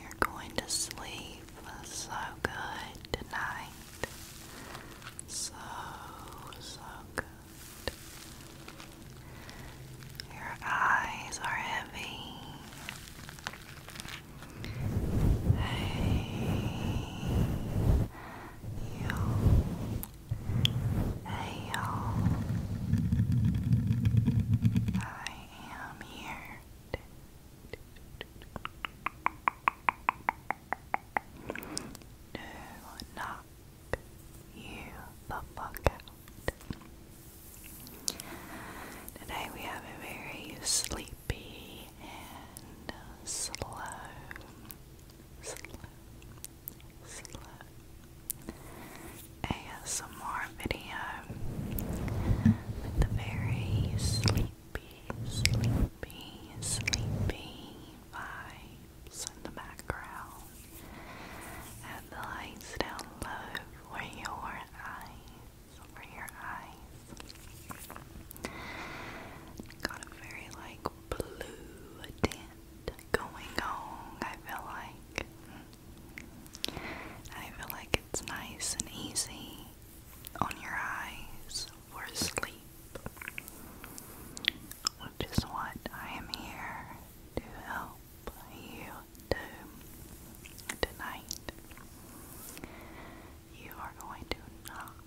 You're going to sleep so good tonight. So, so good. Your eyes are heavy. Hey, y'all. Hey, y'all. Hi am here. No, knock you the fuck out. Today we have a very sleepy and uh, slow, slow, slow ASMR video with the very sleepy, sleepy, sleepy vibes in the background and the lights down low for your eyes, for your eyes. Got a very like blue tint going on, I feel like. I feel like it's nice and easy on your eyes for sleep, which is what I am here to help you tonight. You are going to knock,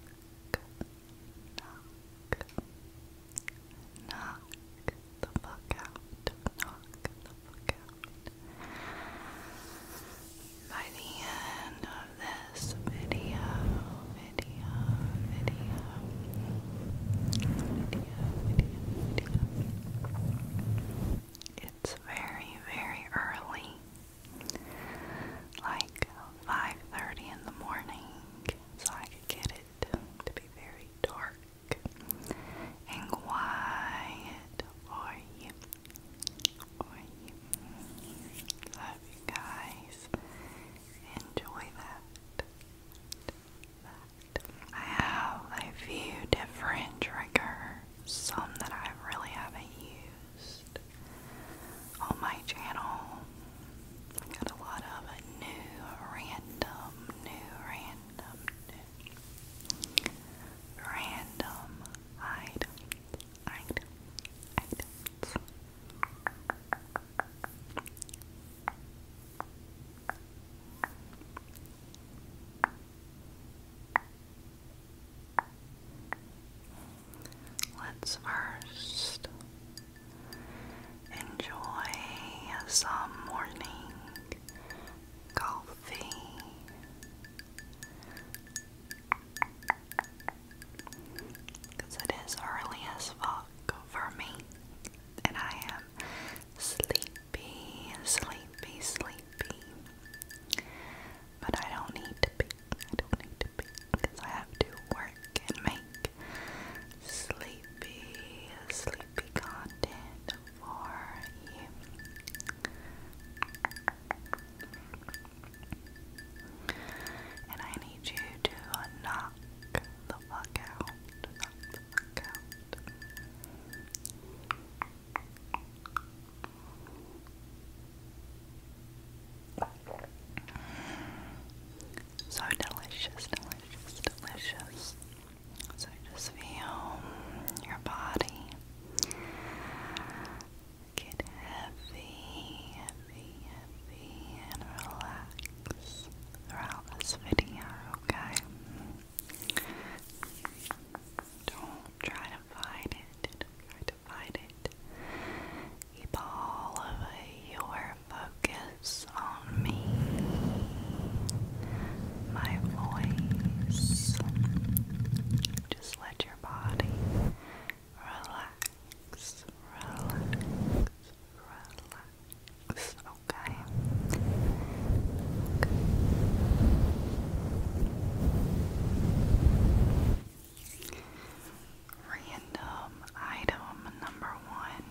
knock, knock the fuck out, knock by the end of this video, video, video, video, video, video, it's very, very early, like 5.30 in the morning, so I could get it to be very dark and quiet for you. Love you guys. Enjoy that. I have a few different triggers, some that I really haven't used on my channel. got a lot of new, random, new, random, new Random item, item, items. Let's first enjoy some morning golfing. Because it is early fuck for me, and I am sleepy, sleepy, sleepy. But I don't need to be, I don't need to be, because I have to work and make sleepy, sleepy content for you. And I need you to uh, knock the fuck out. So delicious, delicious, delicious. So just feel your body get heavy, heavy, heavy, and relax throughout this video, okay? Don't try to fight it, try to fight it. Keep all of your focus on me my voice. Just let your body relax, relax, relax, okay? Random item number one.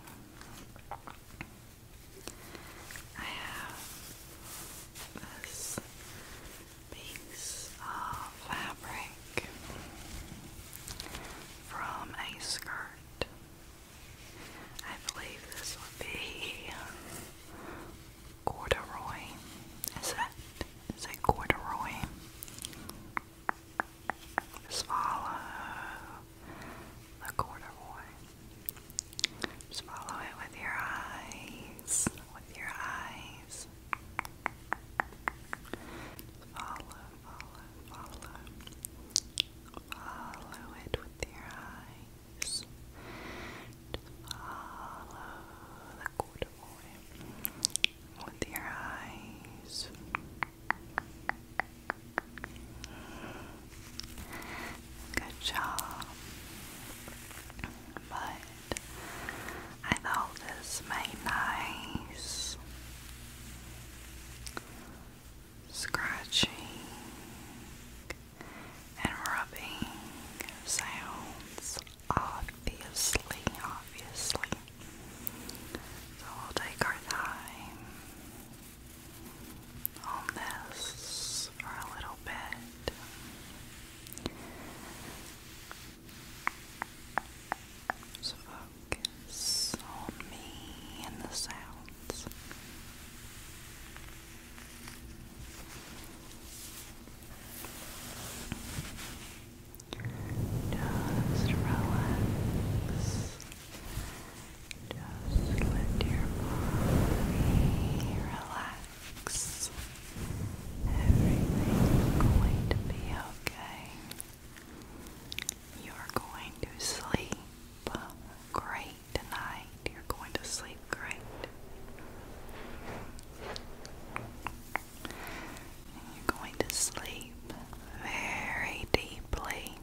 I have this piece of fabric from a skirt. I believe this would be corduroy. Is it? Is it corduroy? Swallow the corduroy. Just follow it with your eyes. With your eyes. Follow, follow, follow. Follow it with your eyes. follow the corduroy with your eyes. Good job. But I thought this made nice scratching and rubbing sounds, obviously, obviously. So we'll take our time on this for a little bit. focus on me and the sounds. Just relax. Just let your body relax. Everything's going to be okay. You're going to sleep great tonight. You're going to sleep great. you're going to sleep very deeply.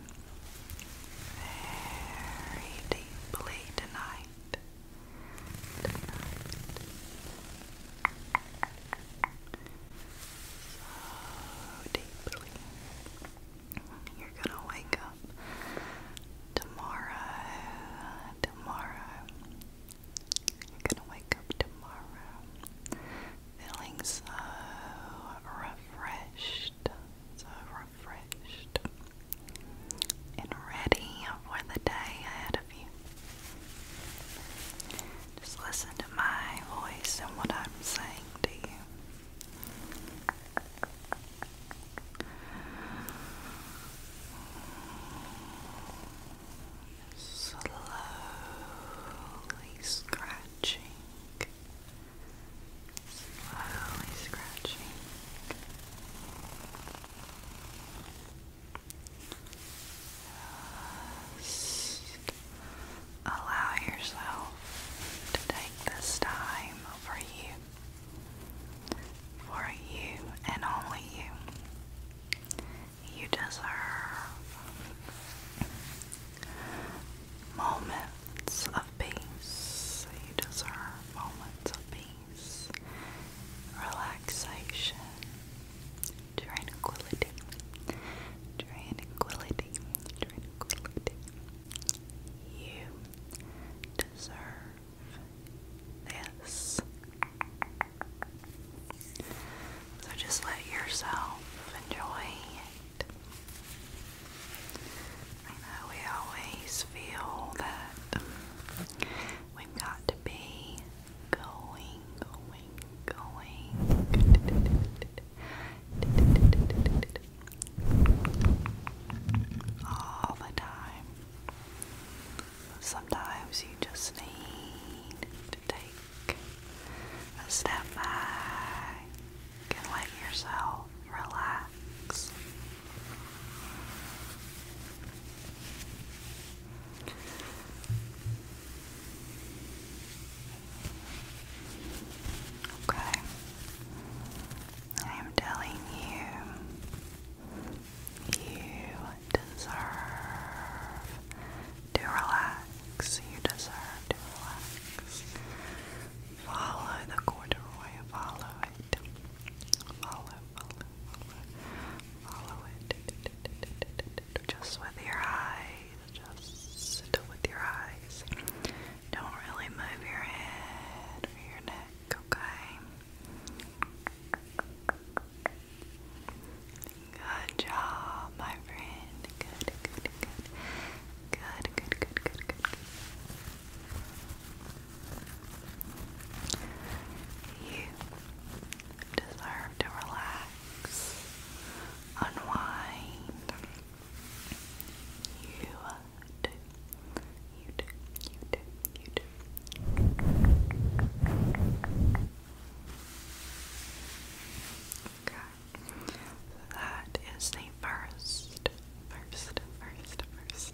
Very deeply tonight. So deeply. You're gonna wake up tomorrow. Tomorrow. You're gonna wake up tomorrow feeling so refreshed. So refreshed and ready for the day ahead of you. Just listen to my voice and what I'm saying to you. Slowly scratching. Slowly scratching allow yourself to take this time for you. For you and only you. You deserve moments of peace. You deserve moments of peace relaxation, tranquility, tranquility, tranquility. You deserve this. So just let yourself enjoy it know we always feel that we've got to be going, going, going. All the time. Sometimes you just need to take a step back and let yourself relax Okay, I am telling you, you deserve to relax. You deserve to relax. Follow the corduroy, follow it, follow follow, follow it. Just with your eyes, just with your eyes. Don't really move your head or your neck, okay? Good job, my friend. Good, good, good. Good, good, good, good, good. You deserve to relax, unwind. You do, you do, you do, you do. Okay, so that is the first, first, first, first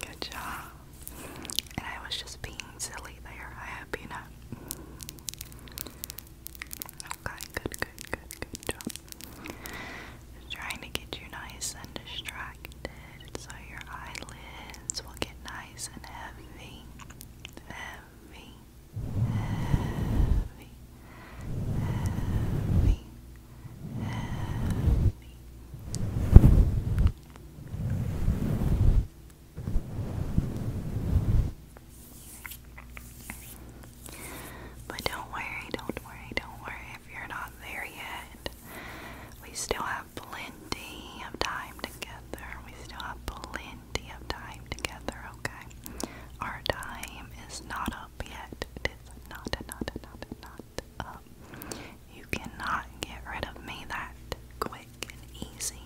Good job. And I was just being silly there. I have you know. Okay, good, good, good, good job. trying to get you nice and distracted so your eyelids will get nice and heavy. Heavy heavy, heavy, heavy. But don't worry, don't worry, don't worry if you're not there yet. We still have plenty of time together. We still have plenty of time together, okay? Our time is not up yet. It is not, not, not, not up. You cannot get rid of me that quick and easy.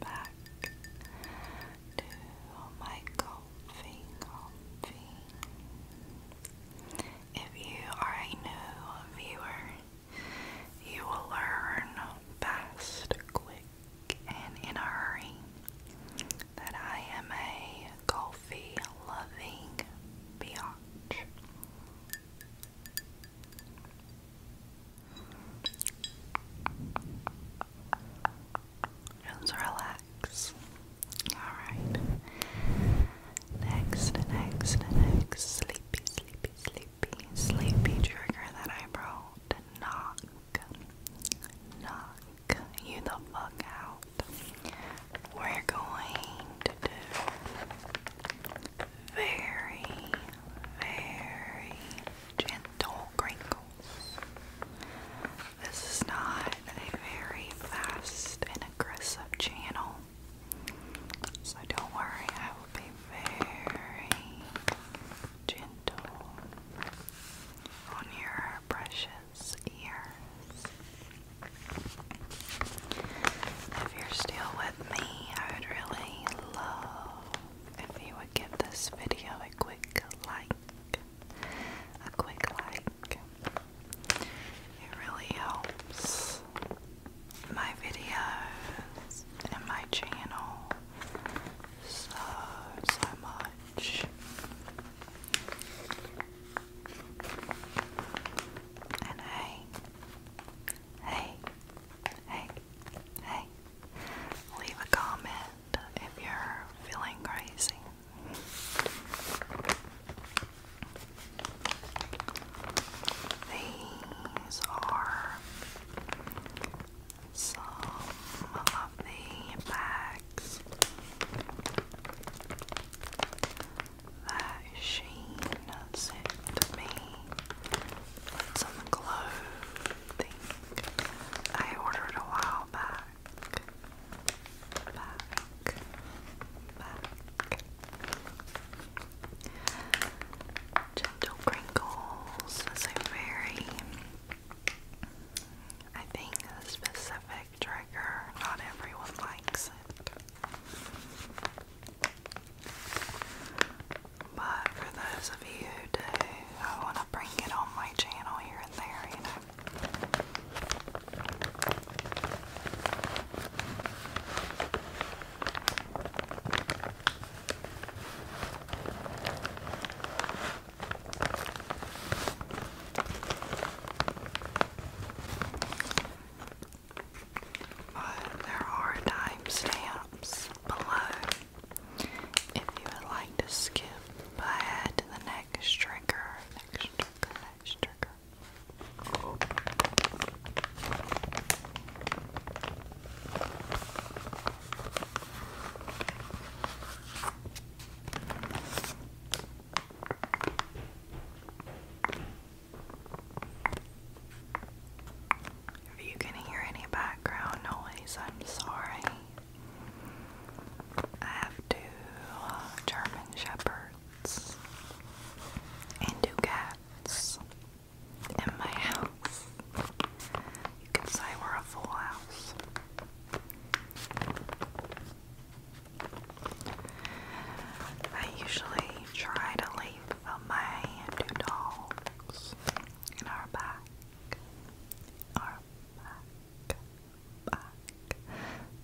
Back to my comfy, comfy. If you are a new viewer, you will learn fast, quick, and in a hurry that I am a coffee loving biatch. Just relax. Alright. Next, next, next, sleepy, sleepy, sleepy, sleepy trigger that I wrote. Knock, knock you the fuck out. We're going to do very, very gentle crinkles. This is not a very fast and aggressive channel. So don't worry, I will be very gentle on your precious ears. If you're still with me, I would really love if you would give this video a quick like. A quick like. It really helps my videos and my channel so, so much. And hey, hey, hey, hey, leave a comment if you're feeling crazy. These are some of the bags that Sheen sent me some clothing I ordered a while back. Back, back. Gentle crinkles is a very, I think, a specific trigger. Not everyone likes it. But for those of you who do, I want to bring it on my channel here and there, you know. But there are timestamps below if you would like to skip ahead to the next trigger, next trigger, next trigger. If you can hear any background noise, I'm sorry. I have two uh, German Shepherds and two cats friends in my house. You could say we're a full house. I usually try to leave my two dogs in our back, our back, back,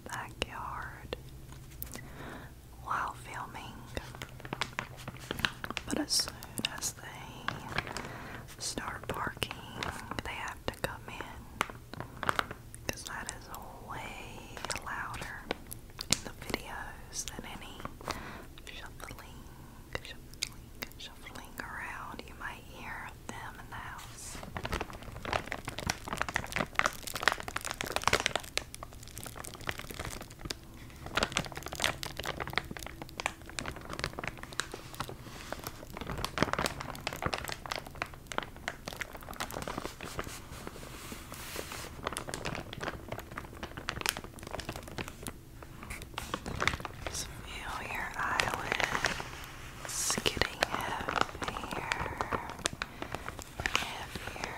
backyard while filming, but as soon as they start parking, they have to come in because that is way louder in the videos than any shuffling, shuffling, shuffling around you might hear them in the house. Some Muir Islands getting heavier I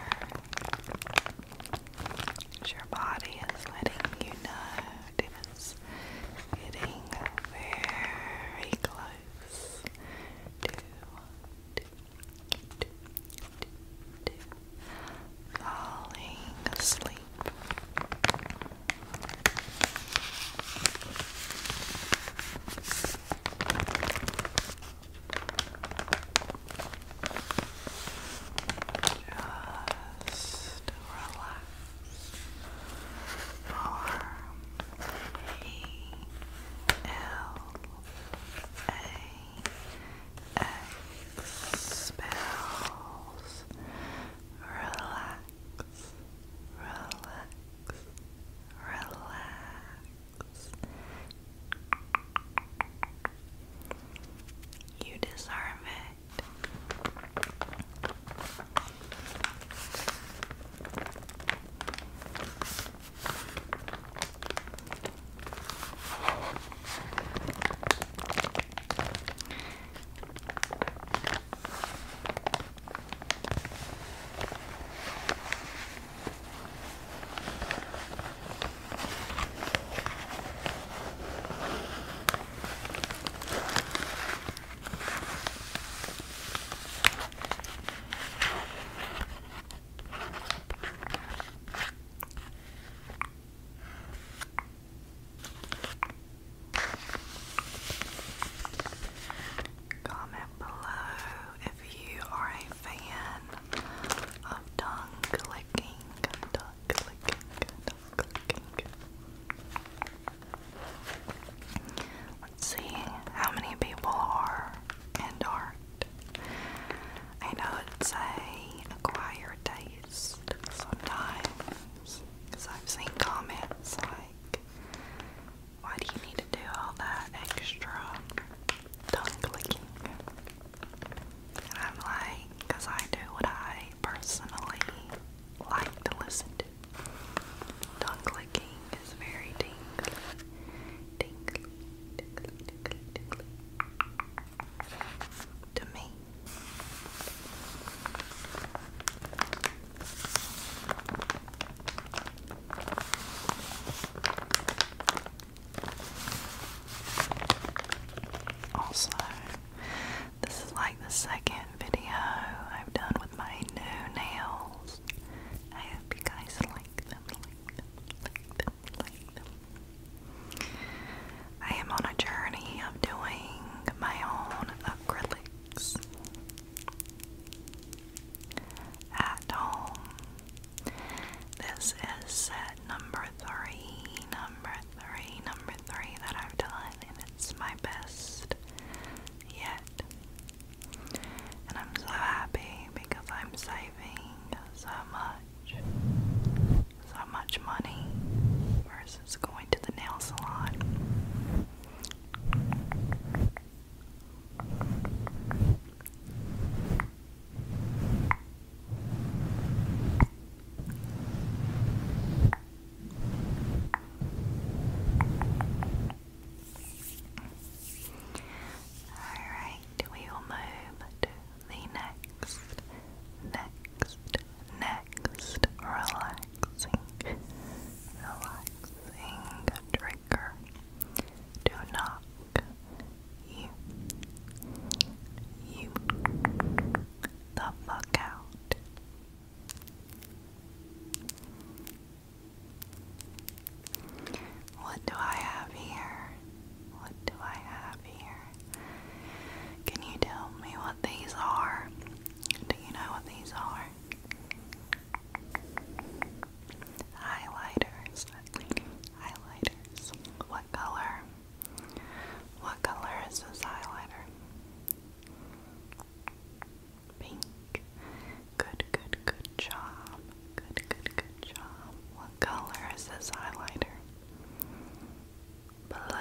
your body is letting you know David's getting very close to falling asleep. Just relax for spells. Relax, relax, relax. You deserve it. Comment below if you are a fan of tongue clicking, Let's see how many people are and aren't. I know it's a acquired taste sometimes, because I've seen comments like, why do you need to do all that extra tongue clicking? And I'm like, I do what I personally like to listen to. Tongue clicking is very tingly. Tingly, tingly, tingly, tingly. To me. Also, this is like the second video I've done with my new nails. I hope you guys like them, I am on a journey of doing my own acrylics at home this is set number three, number three, number three that I've done, and it's my best yet. And I'm so happy because I'm saving so much, so much money versus going to the nail salon. Alright, we will move to the next, next, next relaxing, relaxing trigger. Do not you, you, the fuck out. What do I have here? What do I have here? Can you tell me what these are? Do you know what these are? Highlighters. Highlighters. What color? What color is this highlighter? Pink. Good, good, good job. Good, good, good job. What color is this highlighter? Blue.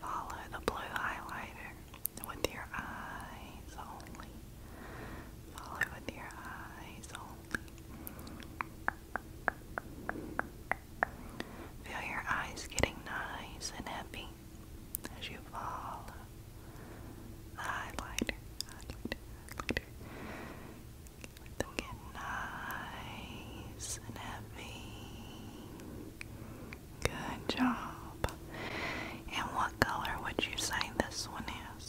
Follow the blue highlighter with your eyes only. Follow with your eyes only. Feel your eyes getting nice and happy as you follow the highlighter, highlighter, highlighter. Let them Good job. And what color would you say this one is?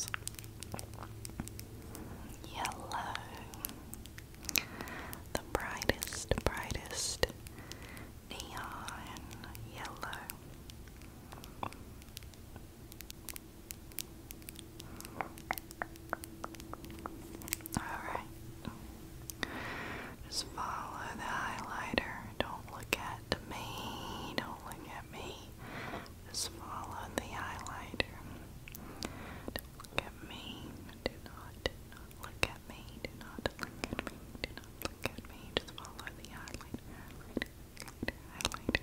yellow, the brightest, brightest neon yellow. Alright, just follow the highlighter. Don't look at me, don't look at me. Just follow the highlighter. look at me. Do not, do not look at me. Do not look at me. Do not look at me. Just follow the highlighter. Highlighter.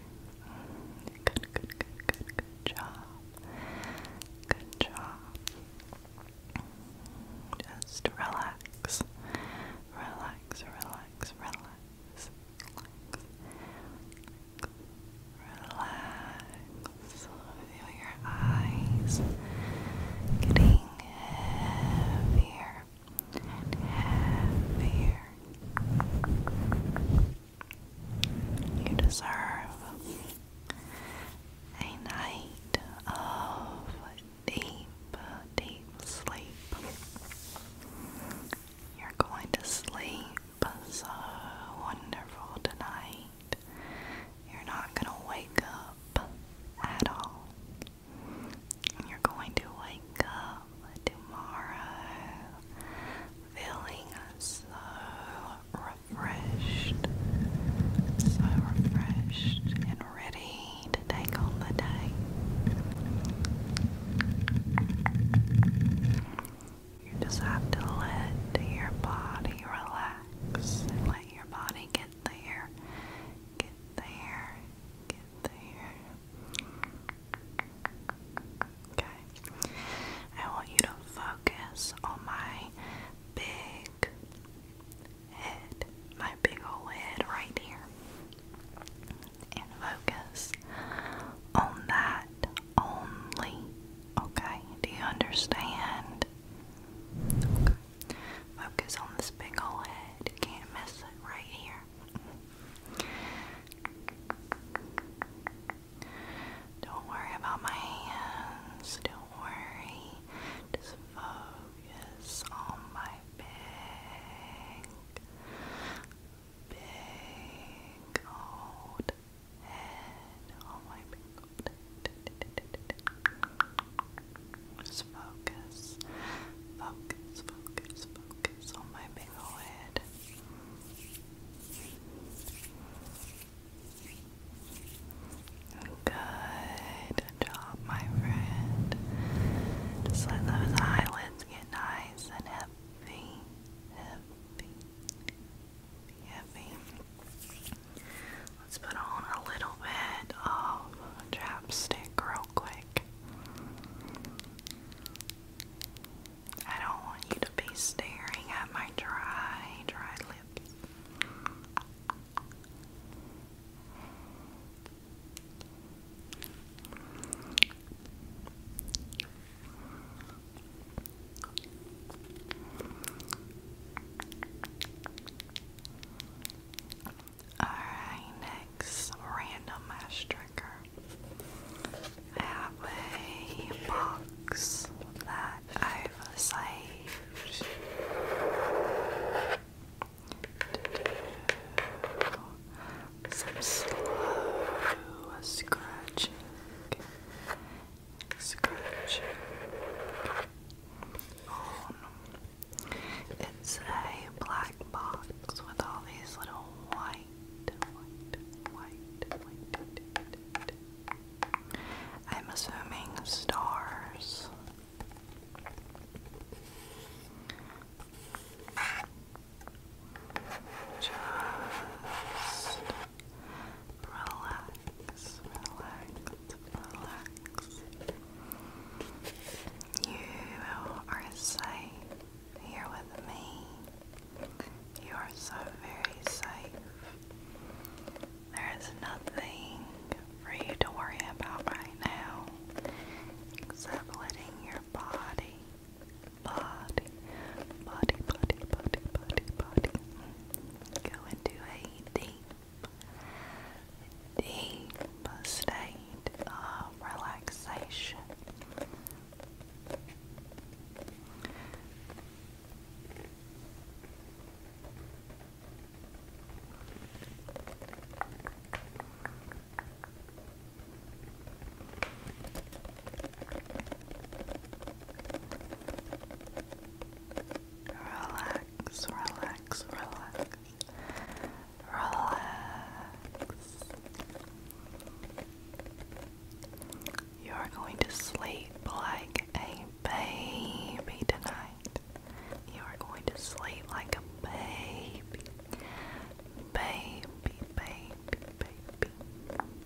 Good, good, good, good, good job. Good job. Just Relax, relax, relax. Relax. Relax. Relax. Feel your eyes getting heavier and heavier. You deserve a night of deep, deep sleep. You're going to sleep pass a wonderful tonight. You're not going to wake up at all. You're going to wake up tomorrow feeling so refreshed, so refreshed and ready to take on the day. You just have to let your body relax let your body get there, get there, get there. Okay. I want you to focus on my big head, my big old head right here. And focus on that only. Okay, do you understand? Focus on this big old head. can't miss it right here. Don't worry about my hands. Don't worry. Just focus on my big, big old head. Oh my god. Just focus. Focus, focus, focus on my big old head. Good job, my friend. Just let those eyelids get nice and heavy, heavy, Let's put on a little bit of chapstick real quick. I don't want you to be staring at my dry, dry lips. Alright, next random match I have a box that I've saved. slow scratching scratch It's a black box with all these little white. I'm assuming stars. Just relax, relax, relax. You are safe here with me. You are so very safe. There is nothing for you to worry about right now except letting your body body, body, body, body, body, Go into a deep, deep state of relaxation. Relax, relax, relax. Relax. You are going to sleep like a baby tonight. You are going to sleep like a baby. Baby, baby, baby.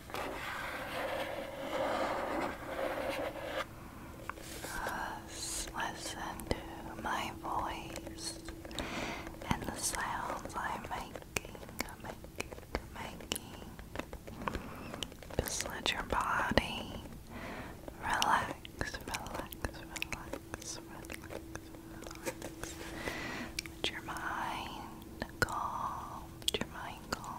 Thus, listen to my voice and the sounds I'm making, making, making. Just let your body relax, relax, relax, relax, relax. Let your mind calm, let your mind calm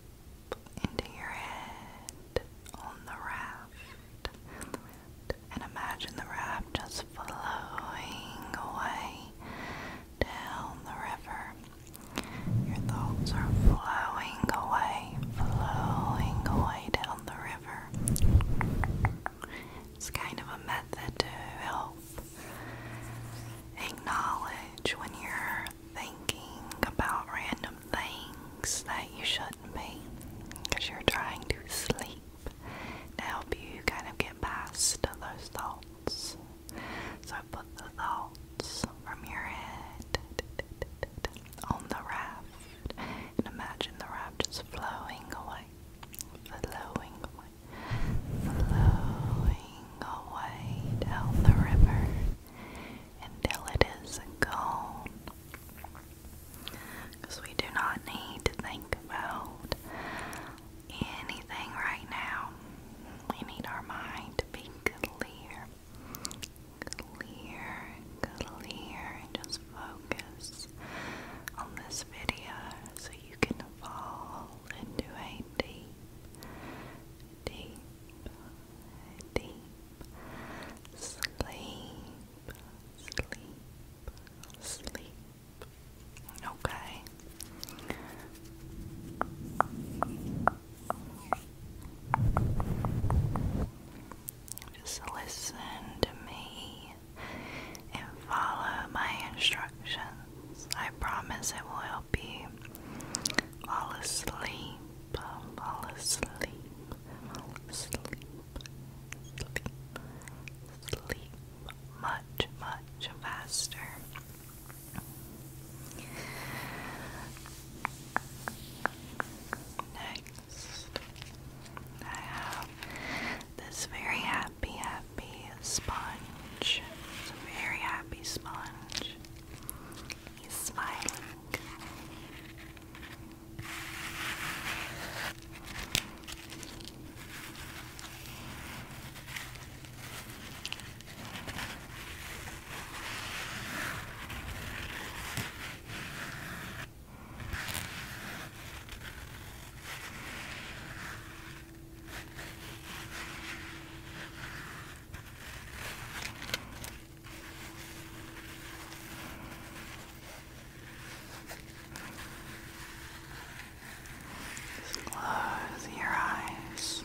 into your head on the raft, and imagine the raft just flowing away down the river. Your thoughts are flowing away, flowing away down the river. It's kind of a method to help acknowledge when you're thinking about random things that you shouldn't be because you're trying to sleep to help you kind of get past those thoughts. So put the thoughts from your head on the raft and imagine the raft just flowing away, flowing away, flowing away down the river until it is gone. Because we do not need to think about anything right now. We need our mind to be clear, clear, clear, and just focus on this video so you can fall into a deep, deep, deep sleep, sleep, sleep. Okay. Just listen to me and follow my instructions. I promise it will help you fall asleep, fall asleep, fall asleep, sleep, sleep much, much faster. Next, I have this very happy, happy sponge. very happy sponge. He's smiling. Just close your eyes.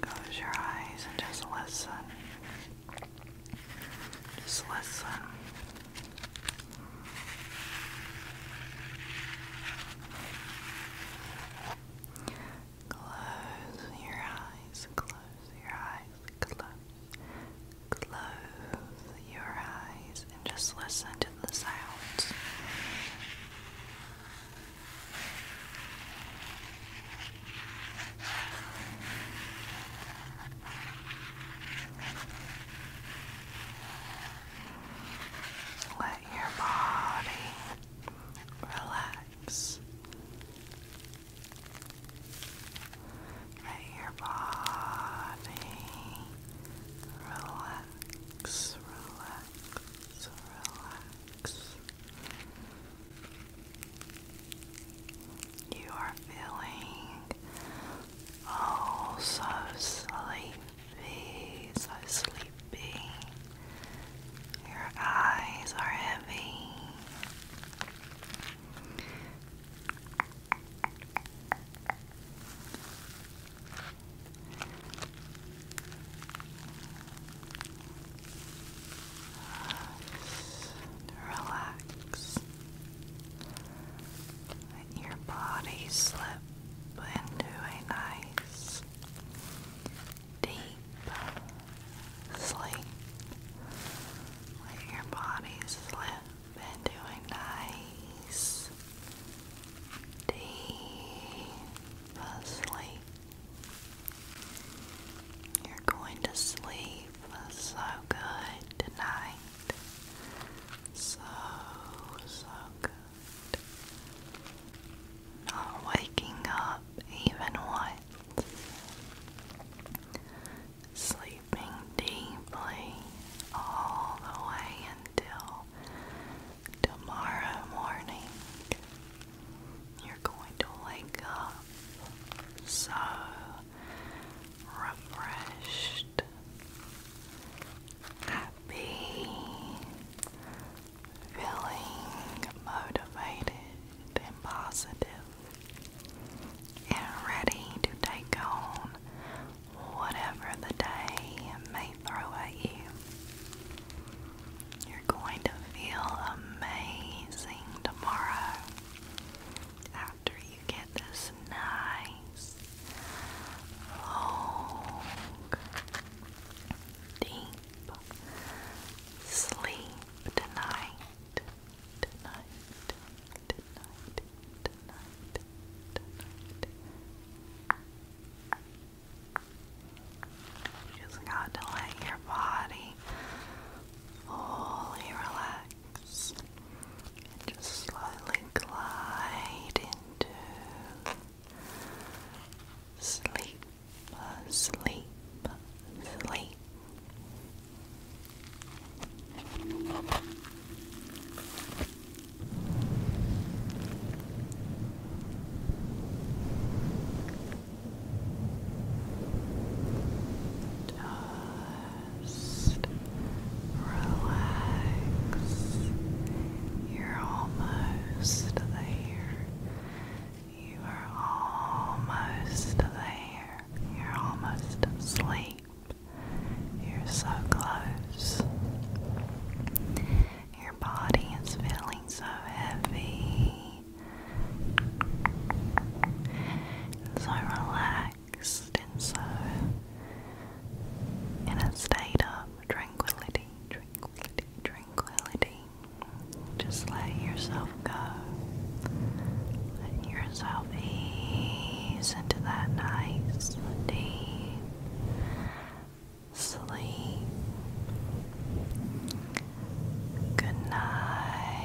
Close your eyes and just listen. Just listen. Close your eyes, close your eyes, close, close your eyes, and just listen to the sounds. Let your body relax. Let your body relax, relax, relax. You are feeling oh so sleepy, so sleepy should Your eyes are heavy. Relax. Let your body slip into a nice deep sleep where your body slip into a nice deep sleep. You're going to sleep so good tonight. So, so good. Not waking up even once. Sleeping deeply all the way until tomorrow morning. You're going to wake up so refreshed, happy, feeling motivated and positive and ready to take on whatever the day may throw at you. You're going to feel amazing tomorrow after you get this nice, long, deep Sleep tonight. just got to let your body fully relax and just slowly glide into sleep sleep, sleep. Just relax. You're almost there. You are almost there. You're almost asleep. You're so close. Your body is feeling so heavy and so relaxed and so in a state of tranquility, tranquility, tranquility. Just let yourself go. Let yourself ease into that nice, deep sleep. Good night.